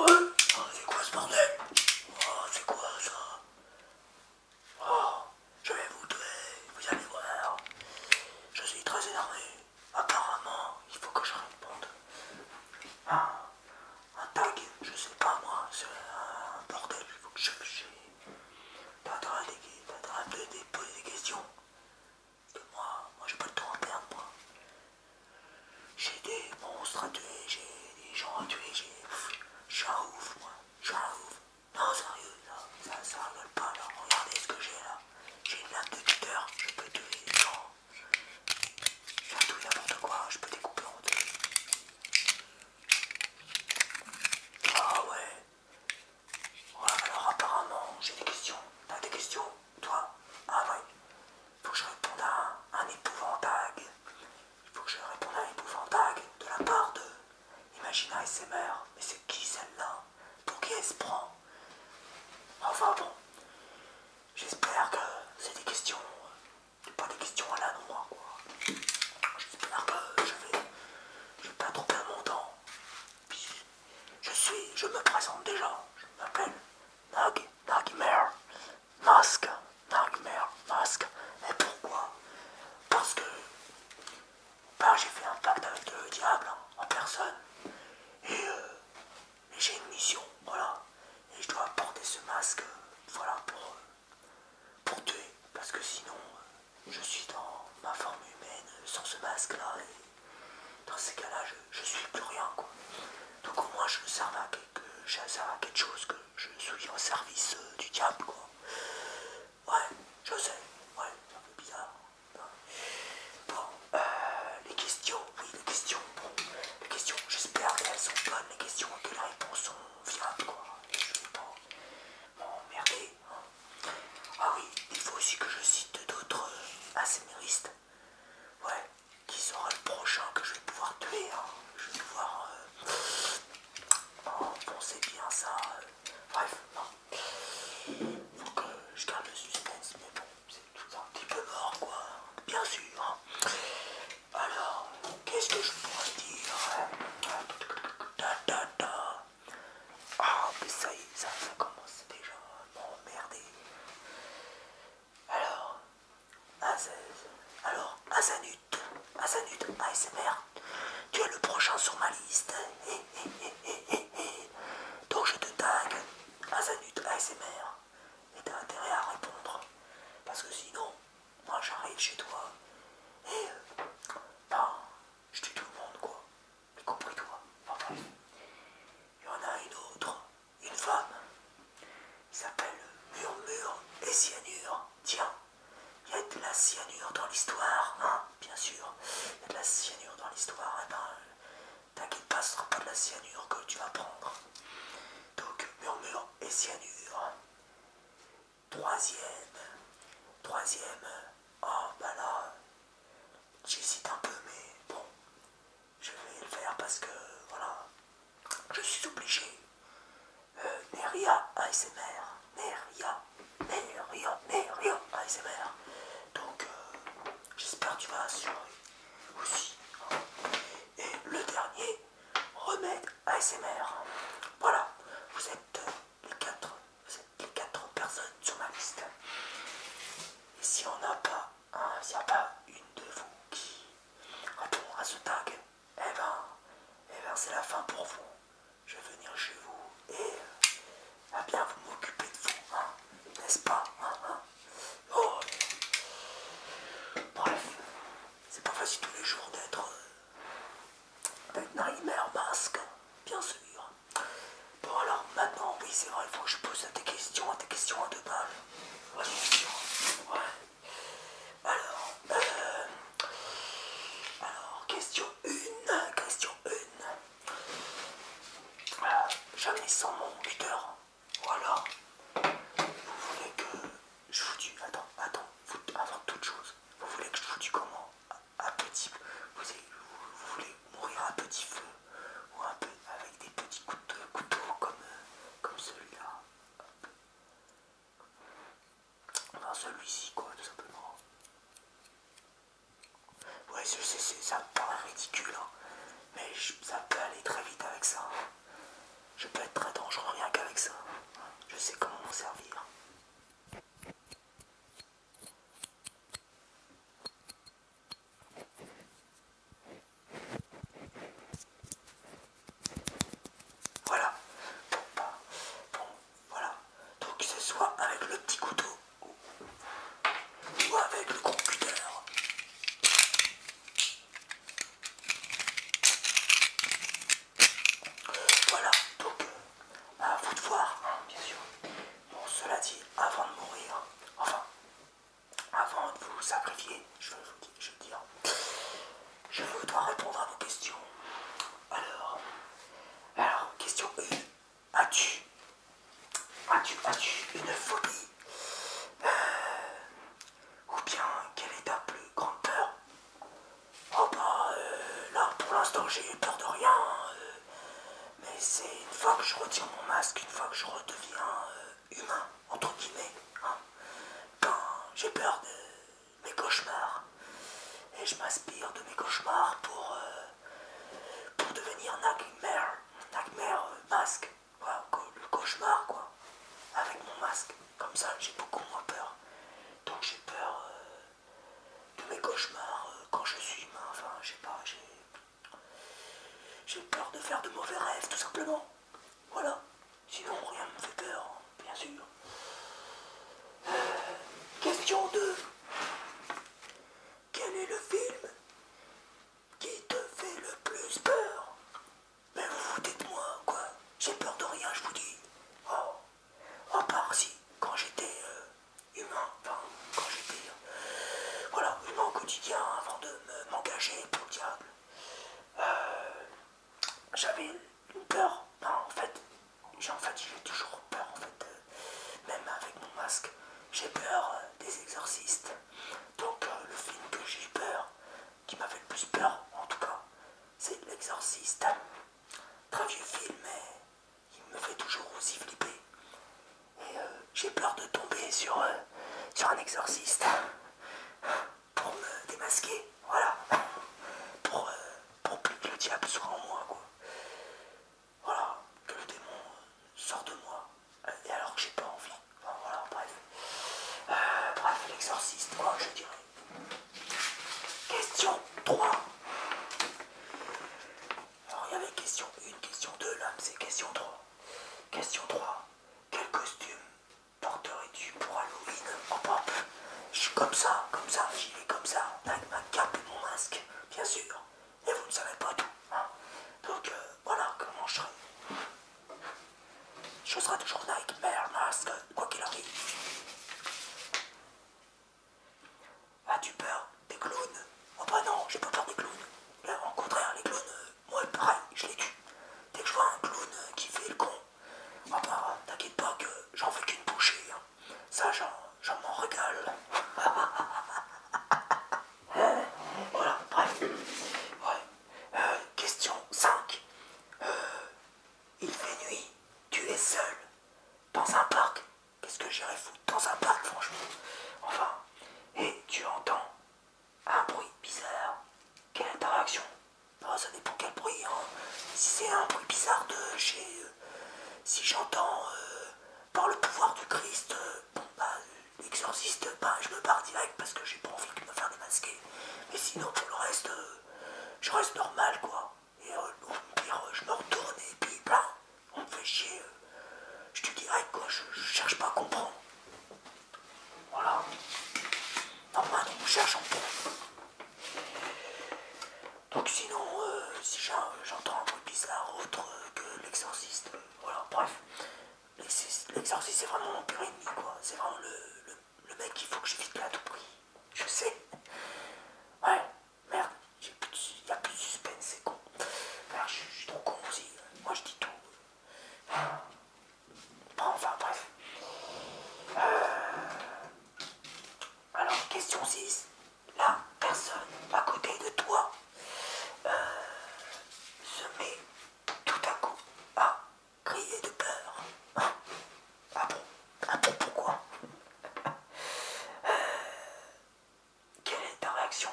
Oh, c'est quoi ce bordel oh, c'est quoi ça oh, je vais vous tuer, vous allez voir je suis très énervé apparemment il faut que je réponde un tag, je sais pas moi c'est un bordel, il faut que je fiche T'as en train de, poser des questions. moi, j'ai pas le temps à perdre, moi. J'ai des monstres à tuer, j'ai des gens à tuer, j'ai. Je un ouf, moi. j'suis un ouf. Non, sérieux, ça, ça rigole pas, là. Regardez ce que j'ai là. J'ai une lame de tuteur, je peux tuer des gens. Je tout tout n'importe quoi, je peux découper en deux. Ah ouais alors apparemment, j'ai des questions. T'as des questions Toi Ah oui. Faut que je réponde à un, épouvantable. Il faut que je réponde à un épouvantag de la part de... ses ASMR. Mais c'est qui celle-là Pour qui elle se prend Enfin bon. J'espère que c'est des questions... Euh, pas des questions à la noix, quoi. J'espère que je vais j'ai pas trop un montant. temps, je suis, je me présente déjà, je m'appelle Nag, Nagmer, Masque, Nagmer, Masque. Et pourquoi Parce que ben, j'ai fait un pacte avec le diable en personne. Euh, et, j'ai une mission, voilà. Et je dois porter ce masque, voilà, pour euh, pour tuer, parce que sinon euh, je suis dans ma forme humaine sans ce masque là et dans ces cas là je, suis plus rien quoi. Donc au moins je me serve à quelque, je à quelque chose que je suis au service euh, du diable quoi. Ouais, je sais, ouais, c'est un peu bizarre. Bon, euh, les questions, oui les questions, bon, les questions, j'espère qu'elles sont bonnes les questions et que les réponses sont viables quoi. Bon merde. Ah oui, il faut aussi que je cite d'autres euh, asméristes. Ouais, qui sera le prochain que je vais pouvoir tuer. Hein. Je vais pouvoir euh, oh, bon c'est bien ça. Euh. Bref, non. Faut que je garde le suspense, mais bon, c'est tout un petit peu mort, quoi. Bien sûr. Hein. Alors, Qu'est-ce que je pourrais dire Ah, mais ça y est, ça, commence déjà à m'emmerder. Alors, alors Azanut, Azanut ASMR, tu es le prochain sur ma liste. Donc je te tague Azanut ASMR et t'as intérêt à répondre parce que sinon moi j'arrive chez toi et eh, euh, je tue tout le monde quoi, y compris toi. il y en a une autre, une femme, qui s'appelle Murmure et Cyanure. Tiens, il y a de la cyanure dans l'histoire, hein, bien sûr, il y a de la cyanure dans l'histoire, eh ben, T'inquiète pas, ce pas de la cyanure que tu vas prendre. Donc, murmure et cyanure. Troisième, troisième, oh bah j'hésite un peu, mais bon, je vais le faire parce que, voilà, je suis obligé. Euh, Neria ASMR, Neria, Neria, Neria ASMR. Donc, euh, j'espère que tu vas assurer aussi. Et le dernier, remède ASMR. Voilà, vous êtes les quatre, vous êtes les quatre personnes sur ma liste. Et si on n'a pas, s'il n'y a pas une de vous qui répond à ce tag, eh ben, eh ben c'est la fin pour vous. Je vais venir chez vous et à eh bien vous m'occuper de vous, hein. n'est-ce pas hein, hein. Oh. Bref, c'est pas facile tous les jours d'être euh, ben, maintenant, il Mask masque, bien sûr. Bon, alors maintenant, oui, c'est vrai, il faut que je pose des questions, des questions à deux balles. Alors, euh, alors, question 1, question 1. Euh, jamais sans mon Ou Voilà. Vous voulez que je vous dis, attends, attends, avant toute chose, vous voulez que je vous dis comment à, petit, vous, voulez mourir un petit feu ou un peu avec des petits coups de couteau comme, euh, comme celui-là. Enfin celui-ci quoi, tout simplement. Ouais, je ça me paraît ridicule, hein, mais ça peut aller très vite avec ça. Hein. Je peux être très dangereux rien qu'avec ça. Je sais comment m'en servir. Voilà. Bon, bah, voilà. Donc, c'est ce soit avec le petit couteau ou avec le gros voilà, donc euh, à vous de voir, hein, bien sûr. Bon, cela dit, avant de mourir, enfin, avant de vous sacrifier, je veux vous dire, je, veux dire, je dois répondre à vos questions. Alors, alors question 1. As-tu as-tu, as-tu une phobie euh, Ou bien quelle est ta plus grande peur Oh bah là pour l'instant j'ai peur de rien. Euh, mais c'est une fois que je retire mon masque, une fois que je redeviens euh, humain, entre guillemets, quand hein, ben, j'ai peur de mes cauchemars. Et je m'inspire de mes cauchemars pour, pour devenir nightmare, masque, le cauchemar quoi, avec mon masque. Comme ça j'ai beaucoup moins peur. Donc j'ai peur euh, de mes cauchemars euh, quand je suis humain. Enfin, je sais pas, j'ai peur de faire de mauvais rêves, tout simplement. Voilà. Sinon, rien ne me fait peur, hein, bien sûr. Euh, question 2. Quel est le film qui te fait le plus peur mais vous vous dites moi, quoi J'ai peur de rien, je vous dis. Oh, à part si, quand j'étais euh, humain, enfin, quand j'étais, euh, voilà, humain au quotidien, avant de m'engager pour le diable, euh, j'avais une peur. en fait, j'ai en fait, toujours peur, en fait, même avec mon masque, j'ai peur des exorcistes. Donc, le film que j'ai peur, qui m'a fait le plus peur, en tout cas, c'est L'Exorciste. Très vieux film, mais il me fait toujours aussi flipper. Et euh, j'ai peur de tomber sur, euh, sur un exorciste pour me démasquer, voilà. Pour, euh, pour plus que le diable soit en moi, quoi. Voilà, que le démon sort de moi, et alors que j'ai pas envie. bref. l'exorciste, moi, je dirais. Question 3. Alors il y avait question 1, question 2, là c'est question 3. Question 3. Quel costume porterais-tu pour Halloween Je suis comme ça, comme ça, j'y vais comme ça, avec ma cape et mon masque, bien sûr. Et vous ne savez pas tout. Hein. Donc euh, voilà comment je serai. Je serai toujours Nike, Mère, Masque, quoi qu'il arrive. As-tu peur des clowns Oh bah non, j'ai pas peur des clowns. Là, au contraire, les clowns, euh, moi pareil, je les tue. Dès que je vois un clown euh, qui fait le con, oh bah t'inquiète pas que j'en fais qu'une bouchée. Hein. Ça, j'en m'en régale. voilà, bref. Ouais. Euh, question 5. Euh, il fait nuit, tu es seul, dans un parc. Qu'est-ce que j'irais foutre dans un parc, franchement Enfin, et tu entends un bruit bizarre. Quelle interaction oh, Ça dépend quel bruit. Hein. Si c'est un bruit bizarre de chez. Euh, si j'entends euh, par le pouvoir du Christ, euh, bon bah, l'exorciste, bah, je me barre direct parce que j'ai pas envie de me faire démasquer. Mais sinon, pour le reste je reste normal, quoi. Et au euh, pire, euh, je me retourne et puis, là, bah, on me fait chier. Je te dis dis quoi, je, cherche pas à comprendre. Voilà. Normal, on cherche, on Donc sinon, euh, si j'entends un bruit bizarre autre que l'exorciste, voilà, bref. L'exorciste, c'est vraiment mon pur ennemi, quoi. C'est vraiment le, le le mec, il faut que je bien à tout prix. Je sais. Ouais, merde, il a plus de suspense, c'est con. Merde, je, suis trop con aussi. Moi, je dis tout. Bon, enfin, bref. Euh, alors, question 6. La personne à côté de toi euh, se met tout à coup à crier de peur. Ah bon Ah bon, pourquoi euh, Quelle est ta réaction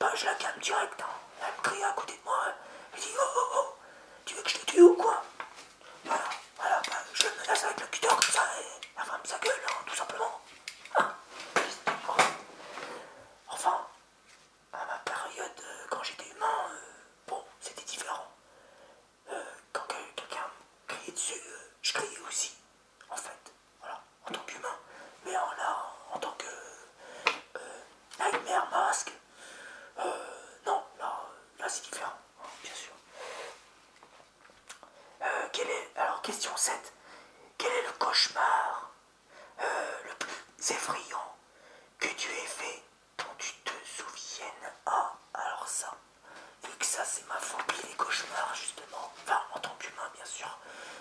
Bah, je la calme direct. Hein. Elle me crie à côté de moi. Elle dit Oh oh oh Tu veux que je te tue ou quoi Voilà, voilà, bah, je la menace avec le cutter comme ça et elle femme sa gueule, hein, tout simplement. Ah, enfin, à ma période euh, quand j'étais humain, euh, bon, c'était différent. Euh, quand quelqu'un criait dessus, je criais aussi, en fait, voilà, en tant qu'humain. Mais en, là, en, tant que nightmare masque, non, là, c'est différent, bien sûr. est, alors, question 7. Quel est le cauchemar le plus effrayant que tu aies fait quand tu te souviennes. Ah, alors ça. vu que ça, c'est ma phobie des cauchemars, justement. Enfin, en tant qu'humain, bien sûr.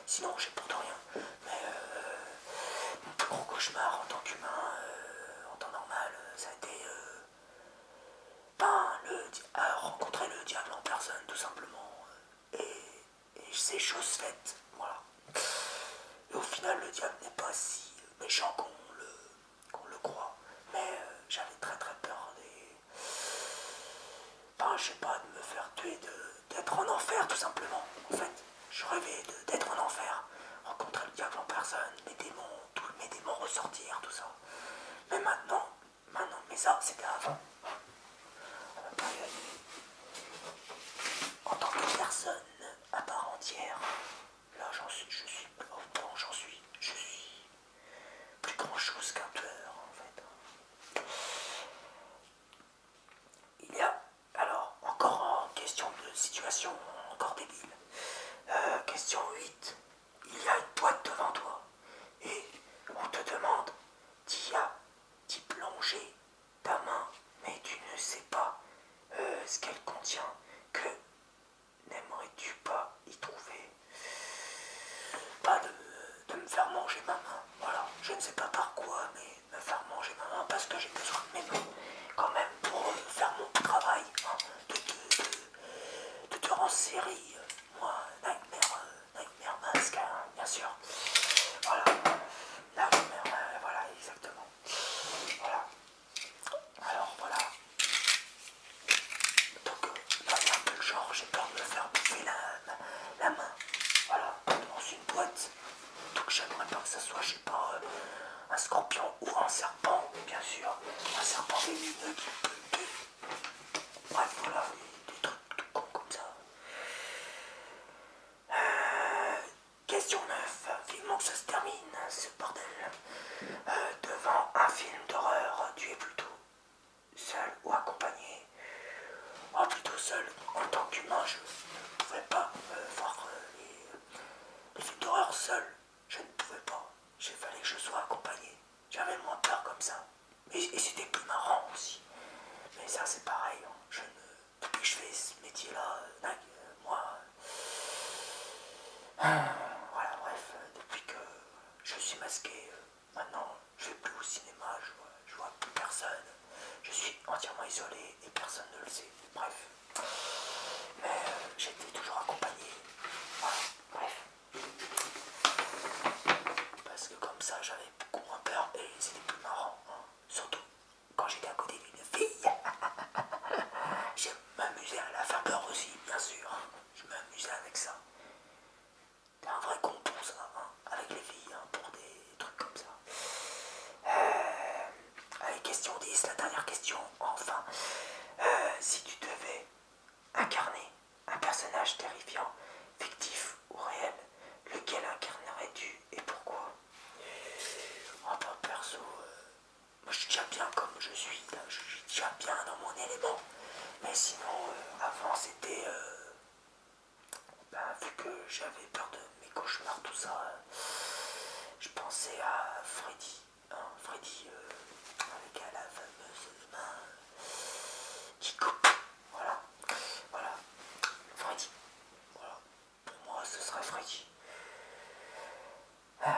Sinon, j'ai pourtant rien. Mais euh, gros cauchemar en tant qu'humain, euh, en temps normal, ça a été euh, ben, le, rencontrer le diable en personne, tout simplement. Et, et c'est chose faite. Voilà. Et au final, le diable n'est pas si méchant qu'on le, qu'on le croit. Mais euh, j'avais très très peur des. Ben, je sais pas, de me faire tuer, d'être en enfer tout simplement. En fait, je rêvais d'être en enfer, rencontrer le diable en personne, mes démons, tous mes démons ressortir, tout ça. Mais maintenant, maintenant, mais ça c'était avant. En tant que personne à part entière, Là, j'en suis, je suis, bon, j'en suis, je suis plus grand chose qu'un tueur en fait. Il y a, alors, encore en question de situation, encore débile. Euh, question 8. Il y a une boîte devant toi et on te demande d'y, d'y plonger ta main, mais tu ne sais pas euh, ce qu'elle contient. Que n'aimerais-tu pas y trouver Pas de, me faire manger ma main. Voilà, je ne sais pas par quoi, mais me faire manger ma main parce que j'ai besoin de mes mains quand même pour faire mon travail hein, de, te en série. Moi, Nightmare, euh, Mask, hein, bien sûr. Voilà, Nightmare, Mask, euh, voilà, exactement. Voilà. Alors voilà. Donc euh, là il un peu le genre, j'ai peur de me faire bouffer la, main. Voilà, dans une boîte. Donc j'aimerais pas que ça soit, je sais pas, euh, un scorpion ou un serpent, bien sûr. Un serpent qui Bref, voilà, des, trucs tout cons comme ça. Euh, Question 9. Vivement que ça se termine, ce bordel. Euh, devant un film d'horreur, tu es plutôt seul ou accompagné Oh, plutôt seul. En tant qu'humain, je ne pouvais pas euh, voir euh, les, films d'horreur seul. Je ne pouvais pas. J'ai fallait que je sois accompagné. J'avais moins peur comme ça. Et, c'était plus marrant aussi. Mais ça, c'est pareil. Hein. Je ne depuis que je fais ce métier-là, euh, euh, moi, euh, ah, voilà, bref, depuis que je suis masqué, maintenant, je vais plus au cinéma, je vois, vois plus personne, je suis entièrement isolé et personne ne le sait, bref, mais j'étais toujours accompagné, bref, parce que comme ça, j'avais beaucoup moins peur et c'était plus marrant, hein, surtout quand j'étais à côté d'une fille, j'ai m'amusé à la faire peur aussi, bien sûr. Je m'amusais avec ça. T'es un vrai contour ça, hein, avec les filles, hein, pour des trucs comme ça. Euh, allez, question 10, la dernière question, enfin. Euh, si tu devais incarner un personnage terrifiant, fictif ou réel, lequel incarnerais-tu et pourquoi ah bah perso, euh, moi je suis déjà bien comme je suis, je suis déjà bien dans mon élément. Mais sinon, euh, avant c'était, euh, bah, vu que j'avais peur de mes cauchemars, tout ça, je pensais à Freddy. Hein, Freddy avec la fameuse main qui coupe. Voilà, voilà, Freddy. Voilà pour moi ce serait Freddy. Euh,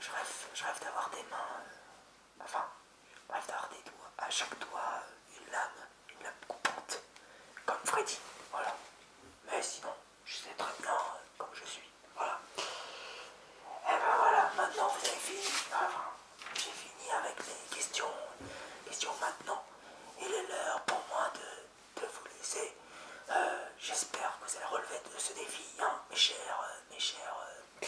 je rêve, d'avoir des mains, euh, enfin, je rêve d'avoir des doigts, à chaque doigt euh, une lame, une lame coupante, comme Freddy, voilà. Mais sinon, je sais très bien comme je suis, voilà. Et eh ben voilà, maintenant vous avez fini, j'ai fini avec les questions, questions maintenant. Il est l'heure pour moi de de vous laisser. Euh, j'espère que vous allez relever de ce défi, hein, mes chers, euh, mes chers, euh,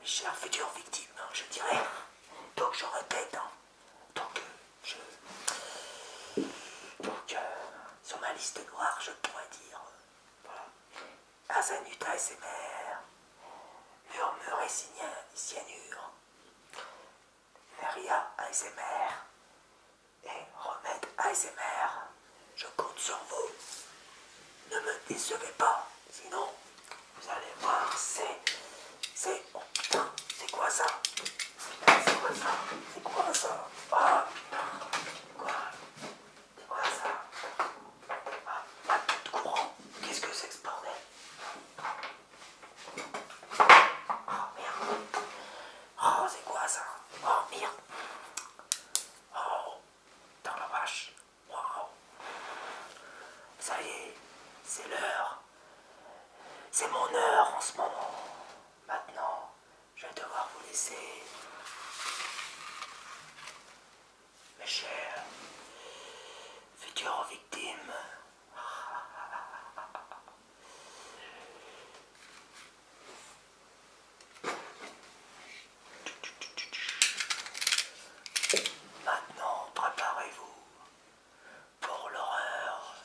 mes futures victimes, hein, je dirais. Donc je répète, hein. donc je, sur ma liste noire, je pourrais dire, voilà, Azanuta et ses murmure et cyanure, Feria ASMR et Remède ASMR. Je compte sur vous. Ne me décevez pas, sinon vous allez voir, c'est... C'est... Oh c'est quoi ça C'est quoi ça C'est quoi ça Ah C'est quoi C'est quoi ça Ah, pas de courant Qu'est-ce que c'est que ce bordel Oh merde. Oh c'est quoi ça Oh merde. Oh dans la vache. Waouh. Ça y est, c'est l'heure. C'est mon heure en ce moment. Maintenant, je vais devoir vous laisser. Mes chers futurs victimes. Maintenant, préparez-vous pour l'horreur.